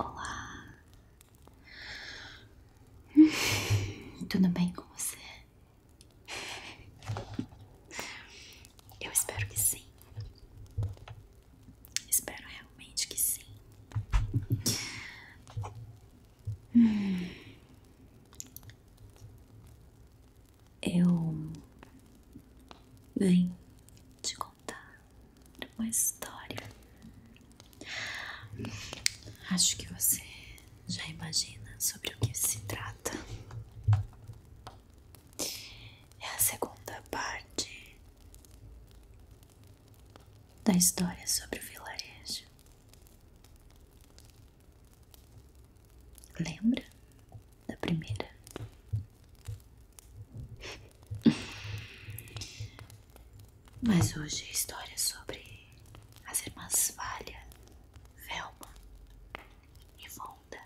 Olá! Tudo bem com você? Eu espero que sim. Espero realmente que sim. Eu venho te contar uma história. Acho que você já imagina sobre o que se trata. É a segunda parte da história sobre o vilarejo. Lembra da primeira? Mas hoje a história é sobre as irmãs Valha, Velma e Vonda.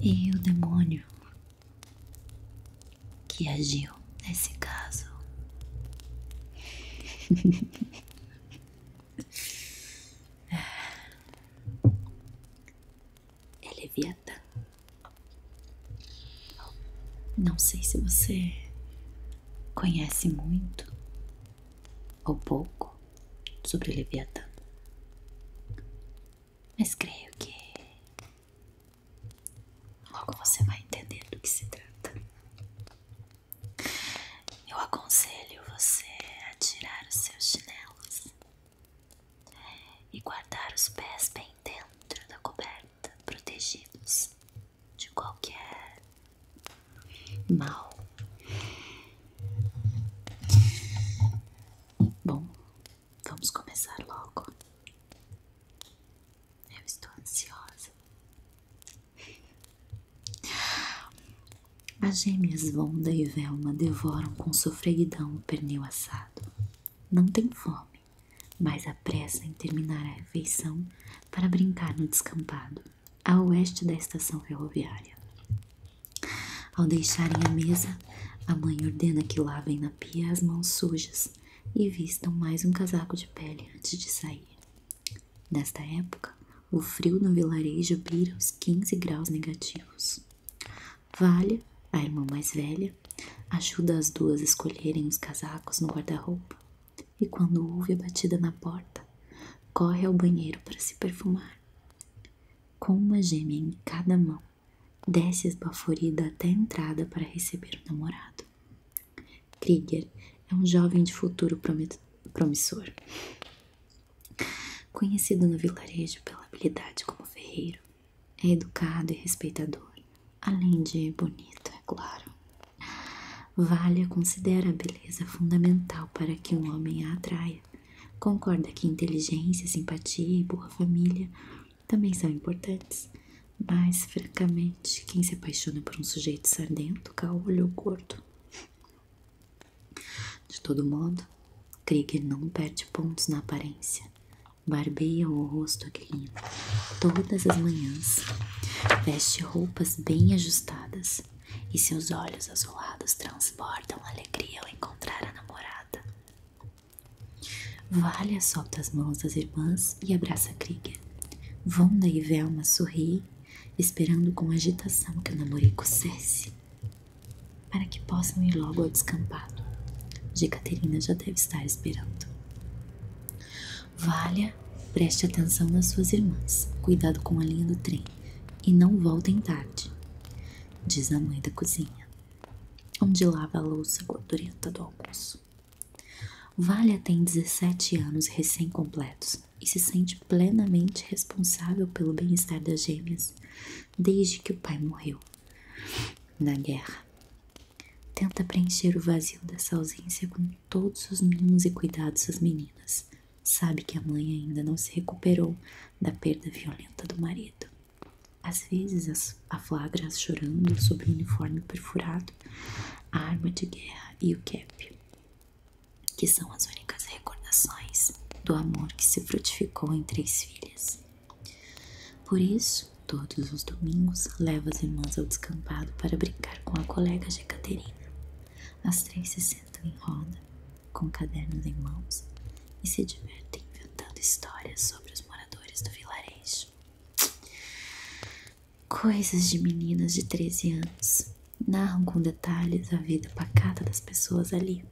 E o demônio que agiu nesse caso. é Leviatã. Não sei se você conhece muito ou pouco sobre Leviatã, mas creio que logo você vai entender do que se trata. Eu aconselho você a tirar os seus chinelos e guardar os pés bem dentro da coberta, protegidos de qualquer mal. Bom, vamos começar logo. Eu estou ansiosa. As gêmeas Vonda e Velma devoram com sofreguidão o pernil assado. Não têm fome, mas apressam em terminar a refeição para brincar no descampado, a oeste da estação ferroviária. Ao deixarem a mesa, a mãe ordena que lavem na pia as mãos sujas e vistam mais um casaco de pele antes de sair. Nesta época, o frio no vilarejo beira os 15 graus negativos. Valha, a irmã mais velha, ajuda as duas a escolherem os casacos no guarda-roupa e, quando ouve a batida na porta, corre ao banheiro para se perfumar. Com uma gêmea em cada mão, desce esbaforida até a entrada para receber o namorado. Krieger é um jovem de futuro promissor. Conhecido no vilarejo pela habilidade como ferreiro, é educado e respeitador, além de bonito, é claro. Valha considera a beleza fundamental para que um homem a atraia. Concorda que inteligência, simpatia e boa família também são importantes, mas francamente, quem se apaixona por um sujeito sardento, caolho ou gordo de todo modo, Krieger não perde pontos na aparência. Barbeia o rosto aquilino todas as manhãs. Veste roupas bem ajustadas e seus olhos azulados transportam alegria ao encontrar a namorada. Valha solta as mãos das irmãs e abraça Krieger. Vonda e Velma sorri, esperando com agitação que o namorico cesse para que possam ir logo ao descampado. De Jecaterina já deve estar esperando. Valha, preste atenção nas suas irmãs. Cuidado com a linha do trem e não voltem tarde, diz a mãe da cozinha, onde lava a louça gordurenta do almoço. Valha tem 17 anos recém-completos e se sente plenamente responsável pelo bem-estar das gêmeas desde que o pai morreu na guerra. Tenta preencher o vazio dessa ausência com todos os mínimos e cuidados das meninas. Sabe que a mãe ainda não se recuperou da perda violenta do marido. Às vezes a flagra chorando sobre o uniforme perfurado, a arma de guerra e o cap, que são as únicas recordações do amor que se frutificou em três filhas. Por isso, todos os domingos leva as irmãs ao descampado para brincar com a colega Jecaterina. As três se sentam em roda, com cadernos em mãos, e se divertem inventando histórias sobre os moradores do vilarejo. Coisas de meninas de 13 anos narram com detalhes a vida pacata das pessoas ali.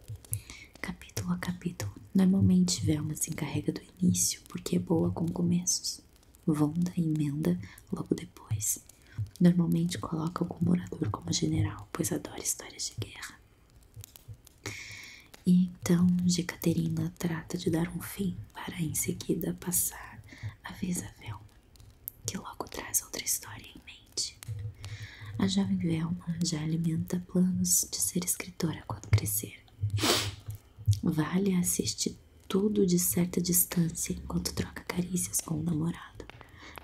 Capítulo a capítulo, normalmente Velma se encarrega do início porque é boa com começos. Vonda emenda logo depois. Normalmente coloca o morador como general, pois adora histórias de guerra. E então Jecaterina trata de dar um fim para em seguida passar a vez a Velma, que logo traz outra história em mente. A jovem Velma já alimenta planos de ser escritora quando crescer. Vale assistir tudo de certa distância enquanto troca carícias com o namorado.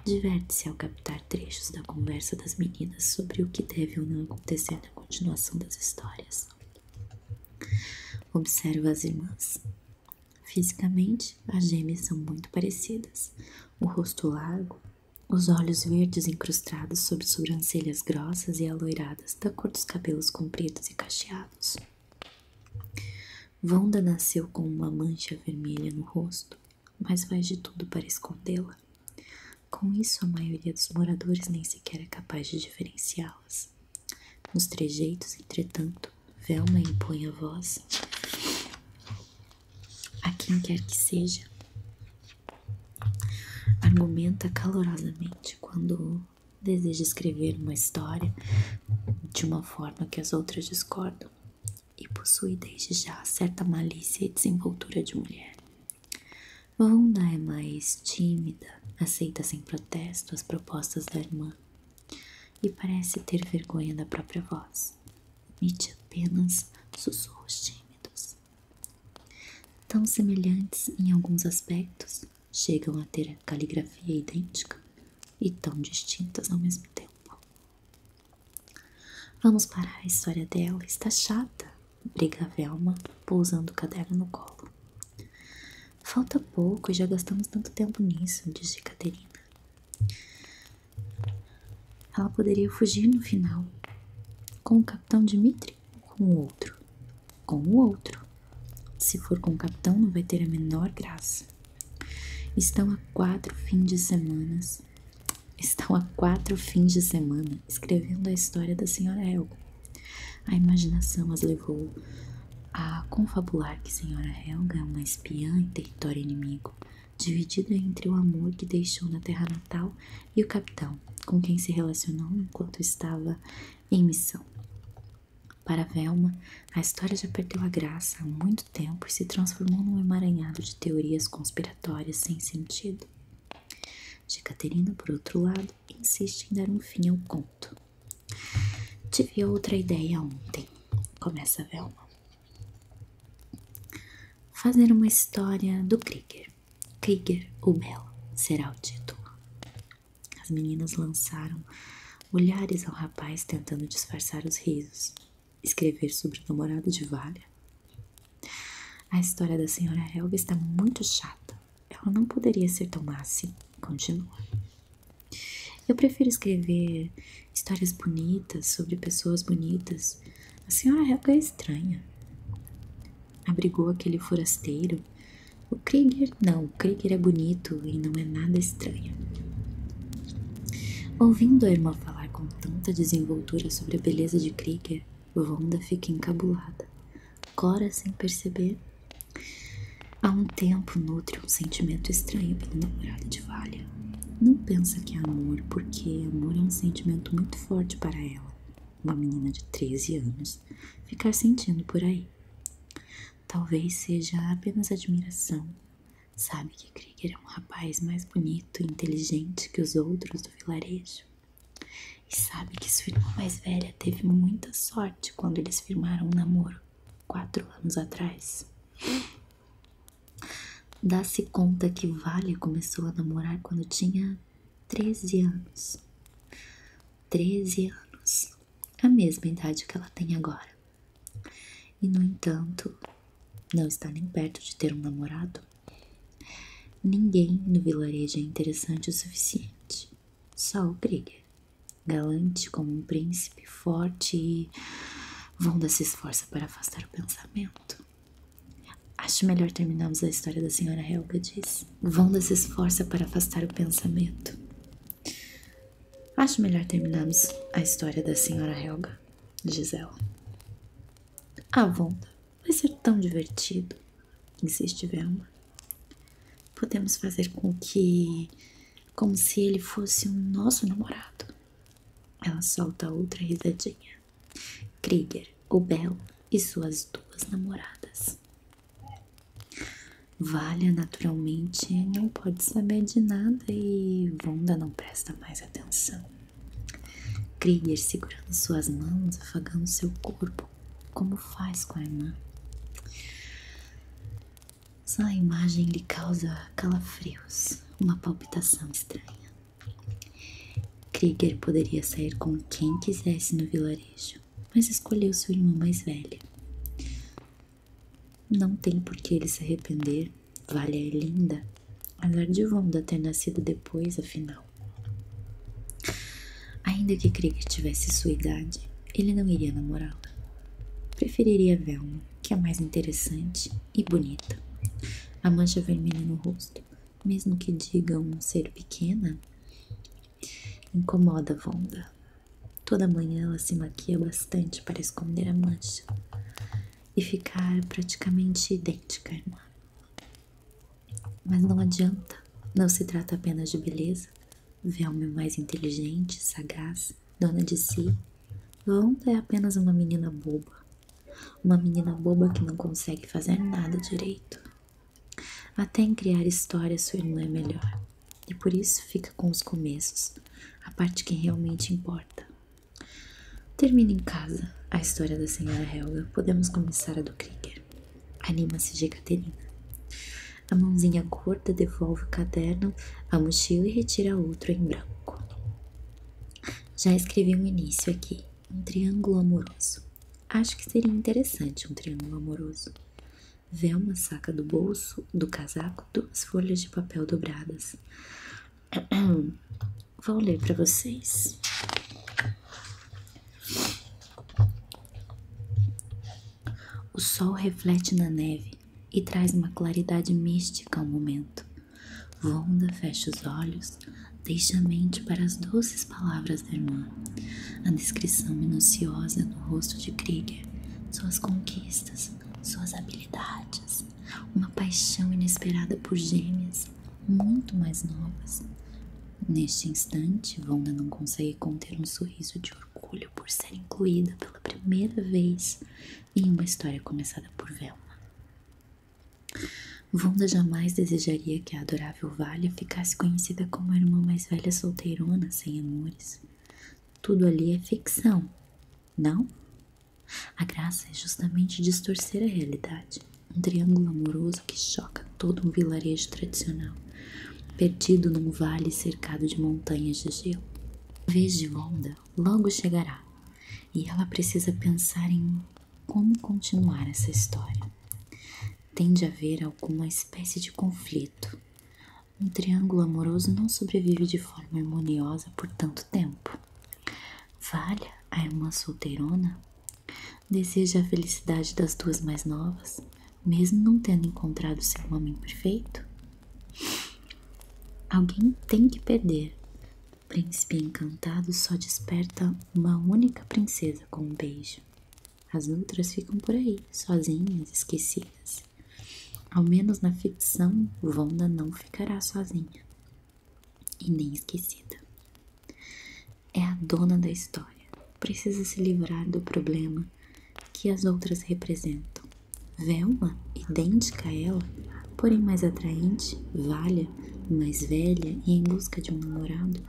Diverte-se ao captar trechos da conversa das meninas sobre o que deve ou não acontecer na continuação das histórias. Observa as irmãs. Fisicamente, as gêmeas são muito parecidas. O rosto largo, os olhos verdes incrustados sob sobrancelhas grossas e alouradas, da cor dos cabelos compridos e cacheados. Vonda nasceu com uma mancha vermelha no rosto, mas faz de tudo para escondê-la. Com isso, a maioria dos moradores nem sequer é capaz de diferenciá-las. Nos trejeitos, entretanto, Velma impõe a voz a quem quer que seja, argumenta calorosamente quando deseja escrever uma história de uma forma que as outras discordam e possui desde já certa malícia e desenvoltura de mulher. Vonda é mais tímida, aceita sem protesto as propostas da irmã e parece ter vergonha da própria voz. Emite apenas sussurros tímidos. Tão semelhantes em alguns aspectos, chegam a ter caligrafia idêntica e tão distintas ao mesmo tempo. Vamos parar, a história dela está chata, briga Velma, pousando o caderno no colo. Falta pouco e já gastamos tanto tempo nisso, disse Caterina. Ela poderia fugir no final com o capitão Dimitri ou com o outro? Com o outro. Se for com o capitão, não vai ter a menor graça. Estão a quatro fins de semana. Estão a quatro fins de semana escrevendo a história da senhora Helga. A imaginação as levou a confabular que a senhora Helga é uma espiã em território inimigo dividida entre o amor que deixou na terra natal e o capitão, com quem se relacionou enquanto estava em missão. Para Velma, a história já perdeu a graça há muito tempo e se transformou num emaranhado de teorias conspiratórias sem sentido. De Caterina, por outro lado, insiste em dar um fim ao conto. Tive outra ideia ontem, começa Velma. Fazer uma história do Krieger Krieger. ou o será o título. As meninas lançaram olhares ao rapaz tentando disfarçar os risos. Escrever sobre o namorado de Valha? A história da senhora Helga está muito chata. Ela não poderia ser tão má assim, Continua. Eu prefiro escrever histórias bonitas sobre pessoas bonitas a senhora Helga é estranha. Abrigou aquele forasteiro. O Krieger não, o Krieger é bonito e não é nada estranho. Ouvindo a irmã falar com tanta desenvoltura sobre a beleza de Krieger, Wanda fica encabulada. Cora, sem perceber, há um tempo nutre um sentimento estranho pelo namorado de Valha. Não pensa que é amor, porque amor é um sentimento muito forte para ela, uma menina de 13 anos, ficar sentindo por aí. Talvez seja apenas admiração. Sabe que Krieger é um rapaz mais bonito e inteligente que os outros do vilarejo. E sabe que sua irmã mais velha teve muita sorte quando eles firmaram um namoro, quatro anos atrás. Dá-se conta que Vale começou a namorar quando tinha 13 anos. 13 anos. A mesma idade que ela tem agora. E, no entanto, não está nem perto de ter um namorado. Ninguém no vilarejo é interessante o suficiente. Só o Krieger. Galante como um príncipe, forte e dar se esforça para afastar o pensamento. Acho melhor terminarmos a história da senhora Helga, diz. Wanda se esforça para afastar o pensamento. Acho melhor terminarmos a história da senhora Helga, diz ela. Ah, Wanda, vai ser tão divertido, insiste Velma. Podemos fazer com que. como se ele fosse um nosso namorado. Ela solta outra risadinha. Krieger, o Belo e suas duas namoradas. Valha, naturalmente, não pode saber de nada e Wanda não presta mais atenção. Krieger segurando suas mãos, afagando seu corpo, como faz com a irmã. Só a imagem lhe causa calafrios, uma palpitação estranha. Krieger poderia sair com quem quisesse no vilarejo, mas escolheu sua irmã mais velha. Não tem por que ele se arrepender. Vale é linda. Apesar de Wanda ter nascido depois, afinal. Ainda que Krieger tivesse sua idade, ele não iria namorá-la. Preferiria Velma, que é mais interessante e bonita. A mancha vermelha no rosto mesmo que digam ser pequena, incomoda Vonda. Toda manhã ela se maquia bastante para esconder a mancha e ficar praticamente idêntica irmã. Mas não adianta, não se trata apenas de beleza. Velma é mais inteligente, sagaz, dona de si. Vonda é apenas uma menina boba, uma menina boba que não consegue fazer nada direito. Até em criar histórias sua irmã é melhor. E por isso fica com os começos, a parte que realmente importa. Termina em casa a história da senhora Helga. Podemos começar a do Krieger. Anima-se de Caterina. A mãozinha curta devolve o caderno, a mochila e retira outro em branco. Já escrevi um início aqui. Um triângulo amoroso. Acho que seria interessante um triângulo amoroso. Velma saca do bolso do casaco duas folhas de papel dobradas. Vou ler para vocês. O sol reflete na neve e traz uma claridade mística ao momento. Wanda fecha os olhos, deixa a mente para as doces palavras da irmã, a descrição minuciosa do rosto de Krieger, suas conquistas, suas habilidades, uma paixão inesperada por gêmeas muito mais novas. Neste instante, Wanda não consegue conter um sorriso de orgulho por ser incluída pela primeira vez em uma história começada por Velma. Vonda jamais desejaria que a adorável Valha ficasse conhecida como a irmã mais velha solteirona sem amores. Tudo ali é ficção, não? A graça é justamente distorcer a realidade. Um triângulo amoroso que choca todo um vilarejo tradicional, perdido num vale cercado de montanhas de gelo. A vez de Vonda logo chegará, e ela precisa pensar em como continuar essa história. Tende a haver alguma espécie de conflito. Um triângulo amoroso não sobrevive de forma harmoniosa por tanto tempo. Valha a irmã solteirona deseja a felicidade das duas mais novas, mesmo não tendo encontrado seu homem perfeito? Alguém tem que perder o príncipe encantado só desperta uma única princesa com um beijo. As outras ficam por aí, sozinhas, esquecidas. Ao menos na ficção, Wanda não ficará sozinha e nem esquecida. É a dona da história. Precisa se livrar do problema que as outras representam. Velma, idêntica a ela, porém mais atraente, vale mais velha e em busca de um namorado,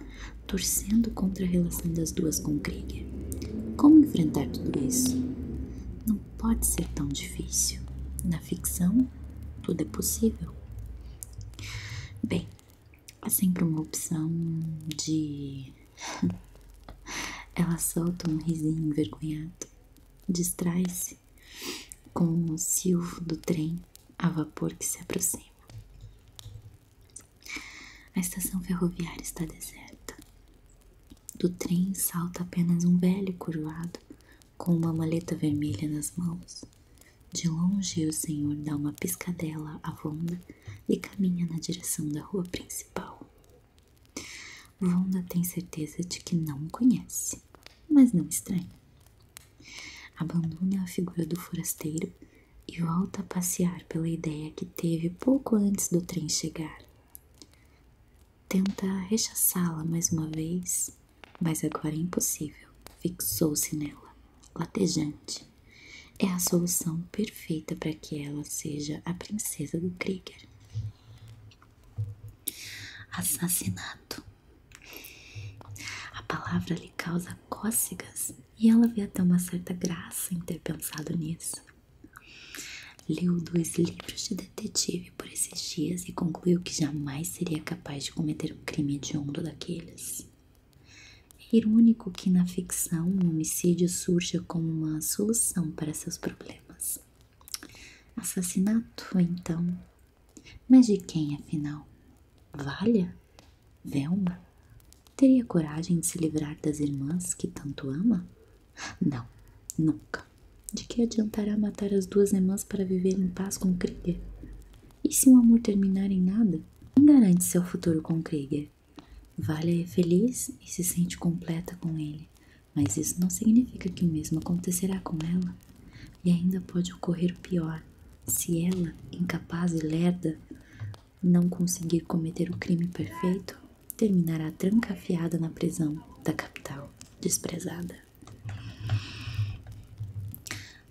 torcendo contra a relação das duas com Krieger. Como enfrentar tudo isso? Não pode ser tão difícil. Na ficção, tudo é possível. Bem, há sempre uma opção de. Ela solta um risinho envergonhado, distrai-se com o silvo do trem a vapor que se aproxima. A estação ferroviária está deserta. Do trem salta apenas um velho curvado com uma maleta vermelha nas mãos. De longe, o senhor dá uma piscadela a Vonda e caminha na direção da rua principal. Vonda tem certeza de que não o conhece, mas não estranha. Abandona a figura do forasteiro e volta a passear pela ideia que teve pouco antes do trem chegar. Tenta rechaçá-la mais uma vez, mas agora é impossível. Fixou-se nela, latejante. É a solução perfeita para que ela seja a princesa do Krieger. Assassinato. A palavra lhe causa cócegas e ela vê até uma certa graça em ter pensado nisso. Leu dois livros de detetive por esses dias e concluiu que jamais seria capaz de cometer um crime hediondo daqueles. É irônico que na ficção o um homicídio surja como uma solução para seus problemas. Assassinato, então, mas de quem, afinal? Valha? Velma? Teria coragem de se livrar das irmãs que tanto ama? Não, nunca. De que adiantará matar as duas irmãs para viver em paz com Krieger? E se o amor terminar em nada? Quem garante seu futuro com Krieger? Valha é feliz e se sente completa com ele, mas isso não significa que o mesmo acontecerá com ela. E ainda pode ocorrer pior, se ela, incapaz e lerda, não conseguir cometer o crime perfeito, terminará trancafiada na prisão da capital, desprezada.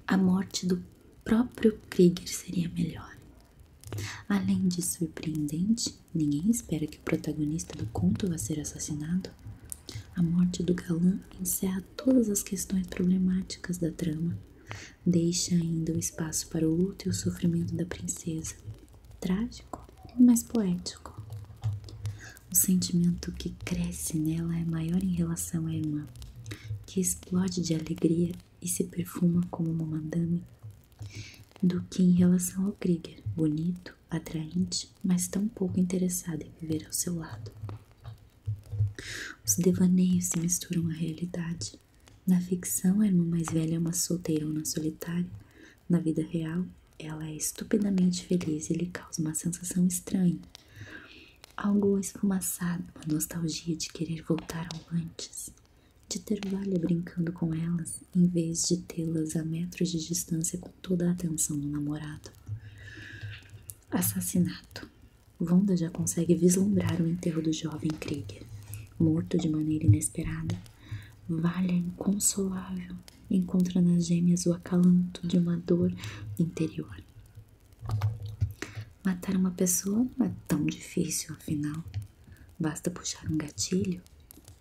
A morte do próprio Krieger seria melhor. Além de surpreendente, ninguém espera que o protagonista do conto vá ser assassinado. A morte do galã encerra todas as questões problemáticas da trama. Deixa ainda o espaço para o luto e o sofrimento da princesa, trágico e mais poético. O sentimento que cresce nela é maior em relação a Emma que explode de alegria e se perfuma como uma madame, do que em relação ao Krieger, bonito, atraente, mas tão pouco interessado em viver ao seu lado. Os devaneios se misturam à realidade. Na ficção, a irmã mais velha é uma solteirona solitária. Na vida real, ela é estupidamente feliz e lhe causa uma sensação estranha. Algo esfumaçado, uma nostalgia de querer voltar ao antes. De ter Valha brincando com elas, em vez de tê-las a metros de distância com toda a atenção do namorado. Assassinato Wanda já consegue vislumbrar o enterro do jovem Krieger, morto de maneira inesperada. Valha inconsolável encontra nas gêmeas o acalanto de uma dor interior. Matar uma pessoa não é tão difícil, afinal. Basta puxar um gatilho,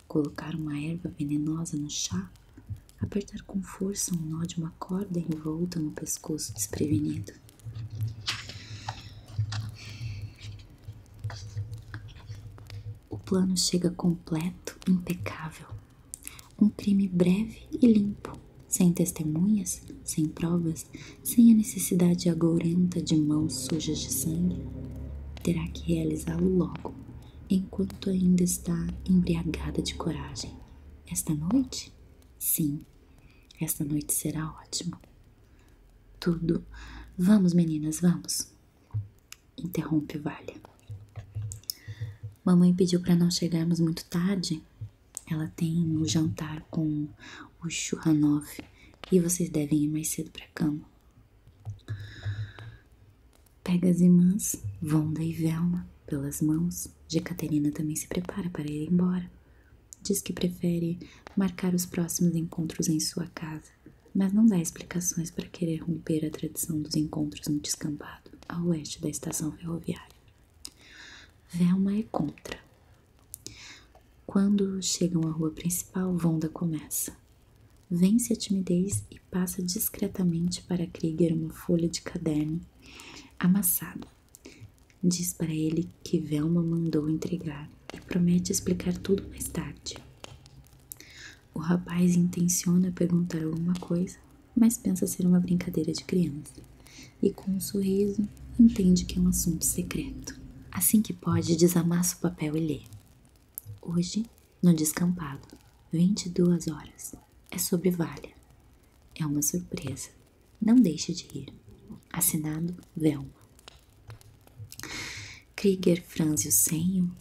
colocar uma erva venenosa no chá, apertar com força um nó de uma corda envolta no pescoço desprevenido. O plano chega completo, impecável. Um crime breve e limpo, sem testemunhas, sem provas, sem a necessidade agourenta de mãos sujas de sangue. Terá que realizá-lo logo, enquanto ainda está embriagada de coragem. Esta noite? Sim, esta noite será ótima. Tudo. Vamos, meninas, vamos. Interrompe Valha. Mamãe pediu para não chegarmos muito tarde. Ela tem o jantar com o Churranov e vocês devem ir mais cedo para cama. Pega as irmãs, Vonda e Velma, pelas mãos, Jecaterina também se prepara para ir embora. Diz que prefere marcar os próximos encontros em sua casa, mas não dá explicações para querer romper a tradição dos encontros no descampado, a oeste da estação ferroviária. Velma é contra. Quando chegam à rua principal, Vonda começa. Vence a timidez e passa discretamente para Krieger uma folha de caderno amassada. Diz para ele que Velma mandou entregar e promete explicar tudo mais tarde. O rapaz intenciona perguntar alguma coisa, mas pensa ser uma brincadeira de criança e, com um sorriso, entende que é um assunto secreto. Assim que pode, desamassa o papel e lê. Hoje, no descampado, 22 horas. É sobre Valha. É uma surpresa. Não deixe de rir. Assinado Velma. Krieger franze o senho.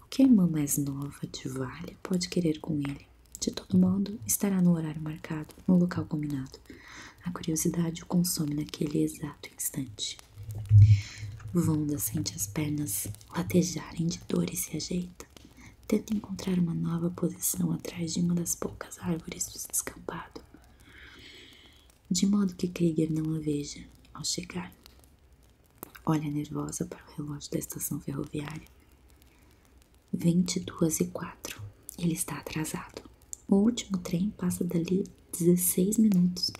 O que a irmã mais nova de Vale pode querer com ele? De todo modo, estará no horário marcado, no local combinado. A curiosidade o consome naquele exato instante. Vonda sente as pernas latejarem de dor e se ajeita. Tenta encontrar uma nova posição atrás de uma das poucas árvores do descampado, de modo que Krieger não a veja ao chegar. Olha nervosa para o relógio da estação ferroviária. 22 e 4. Ele está atrasado. O último trem passa dali 16 minutos.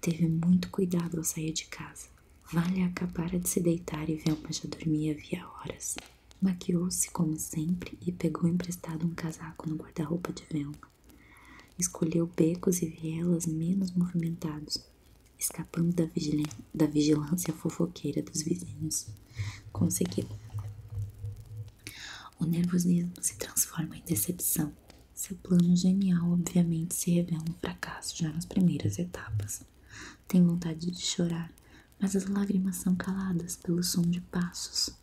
Teve muito cuidado ao sair de casa. Vale acabara de se deitar e Velma já dormia havia horas. Maquiou-se como sempre e pegou emprestado um casaco no guarda-roupa de Velma. Escolheu becos e vielas menos movimentados, escapando da vigilância fofoqueira dos vizinhos. Conseguiu. O nervosismo se transforma em decepção. Seu plano genial, obviamente, se revela um fracasso já nas primeiras etapas. Tem vontade de chorar, mas as lágrimas são caladas pelo som de passos.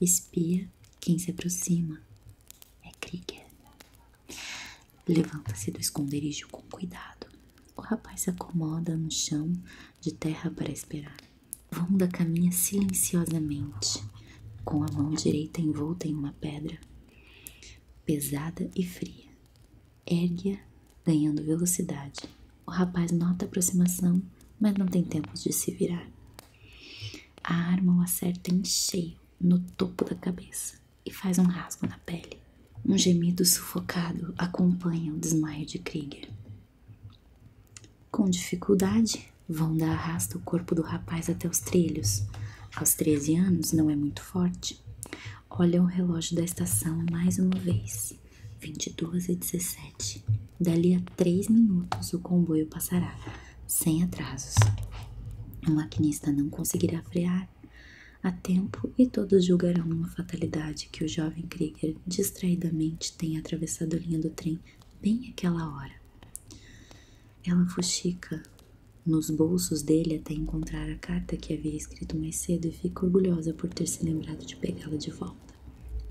Espia quem se aproxima. É Krieger. Levanta-se do esconderijo com cuidado. O rapaz se acomoda no chão de terra para esperar. Vonda caminha silenciosamente, com a mão direita envolta em uma pedra pesada e fria ergue-a, ganhando velocidade. O rapaz nota a aproximação, mas não tem tempo de se virar. A arma o acerta em cheio, no topo da cabeça, e faz um rasgo na pele. Um gemido sufocado acompanha o desmaio de Krieger. Com dificuldade, Vonda arrasta o corpo do rapaz até os trilhos. Aos 13 anos, não é muito forte tarde. Olha o relógio da estação mais uma vez. 22 e 17. Dali a três minutos o comboio passará, sem atrasos. O maquinista não conseguirá frear a tempo e todos julgarão uma fatalidade que o jovem Krieger distraidamente tenha atravessado a linha do trem bem àquela hora. Ela fuxica nos bolsos dele até encontrar a carta que havia escrito escrito mais cedo e fico orgulhosa por ter se lembrado de pegá-la de volta.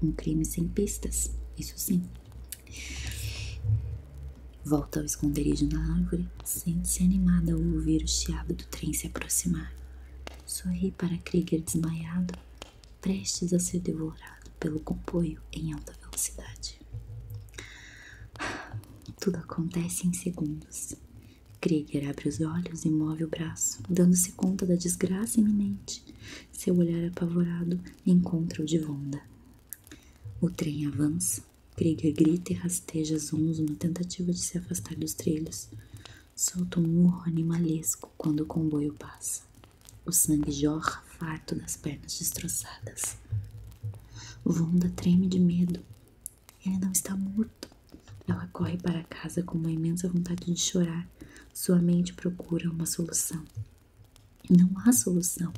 Um crime sem pistas, isso sim. Volta ao esconderijo na árvore, sente-se animada ao ouvir o chiado do trem se aproximar. Sorri para Krieger desmaiado, prestes a ser devorado pelo compoio em alta velocidade. Tudo acontece em segundos. Krieger abre os olhos e move o braço, dando-se conta da desgraça iminente. Seu olhar apavorado encontra o de Vonda. O trem avança. Krieger grita e rasteja Zonzo na tentativa de se afastar dos trilhos. Solta um urro animalesco quando o comboio passa. O sangue jorra farto das pernas destroçadas. Vonda treme de medo. Ele não está morto. Ela corre para casa com uma imensa vontade de chorar. Sua mente procura uma solução. Não há solução.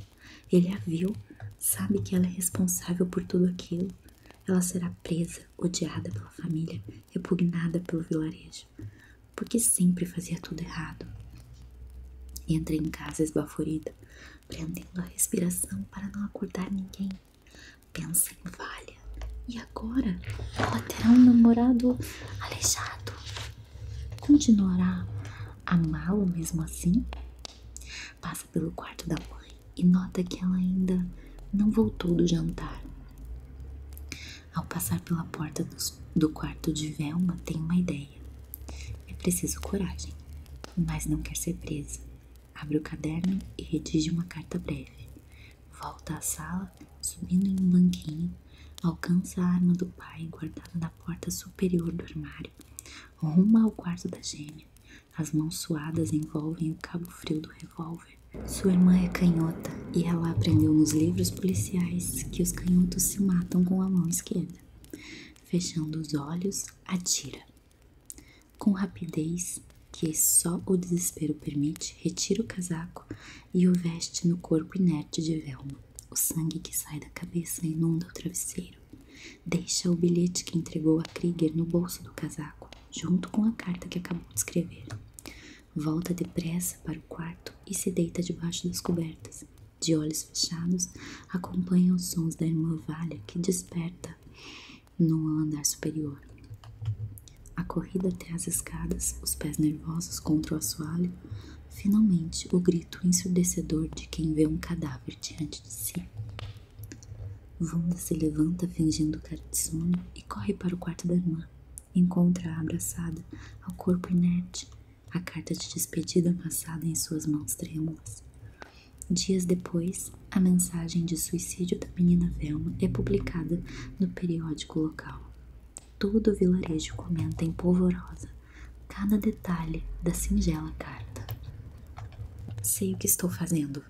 Ele a viu, sabe que ela é responsável por tudo aquilo. Ela será presa, odiada pela família, repugnada pelo vilarejo, porque sempre fazia tudo errado. Entra em casa esbaforida, prendendo a respiração para não acordar ninguém. Pensa em Valha. E agora ela terá um namorado aleijado. Continuará a amá-lo mesmo assim? Passa pelo quarto da mãe e nota que ela ainda não voltou do jantar. Ao passar pela porta do quarto de Velma, tem uma ideia. É preciso coragem, mas não quer ser presa. Abre o caderno e redige uma carta breve. Volta à sala, subindo em um banquinho, alcança a arma do pai guardada na porta superior do armário. Ruma ao quarto da gêmea. As mãos suadas envolvem o cabo frio do revólver. Sua irmã é canhota e ela aprendeu nos livros policiais que os canhotos se matam com a mão esquerda. Fechando os olhos, atira. Com rapidez que só o desespero permite, retira o casaco e o veste no corpo inerte de Velma. O sangue que sai da cabeça inunda o travesseiro. Deixa o bilhete que entregou a Krieger no bolso do casaco, junto com a carta que acabou de escrever. Volta depressa para o quarto e se deita debaixo das cobertas. De olhos fechados, acompanha os sons da irmã Valha que desperta no andar superior. A corrida até as escadas, os pés nervosos contra o assoalho, finalmente o grito ensurdecedor de quem vê um cadáver diante de si. Wanda se levanta fingindo cair de sono e corre para o quarto da irmã. Encontra-a abraçada ao corpo inerte, a carta de despedida passada em suas mãos trêmulas. Dias depois, a mensagem de suicídio da menina Velma é publicada no periódico local. Todo o vilarejo comenta em polvorosa cada detalhe da singela carta. Sei o que estou fazendo.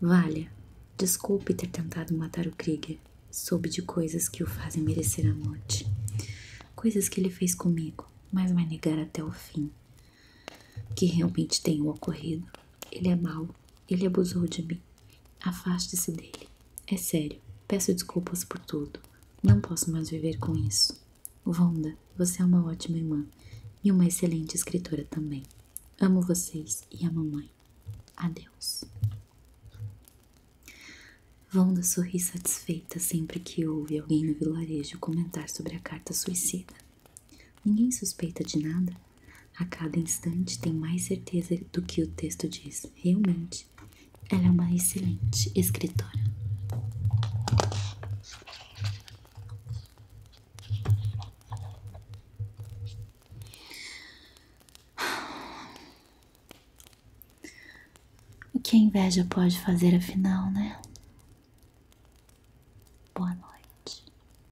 Valha, desculpe ter tentado matar o Krieger. Soube de coisas que o fazem merecer a morte. Coisas que ele fez comigo, mas vai negar até o fim. Que realmente tenham ocorrido. Ele é mau, ele abusou de mim. Afaste-se dele. É sério, peço desculpas por tudo. Não posso mais viver com isso. Vonda, você é uma ótima irmã e uma excelente escritora também. Amo vocês e a mamãe. Adeus. Vonda sorri satisfeita sempre que ouve alguém no vilarejo comentar sobre a carta suicida. Ninguém suspeita de nada. A cada instante tem mais certeza do que o texto diz. Realmente, ela é uma excelente escritora. O que a inveja pode fazer afinal, né? Boa noite.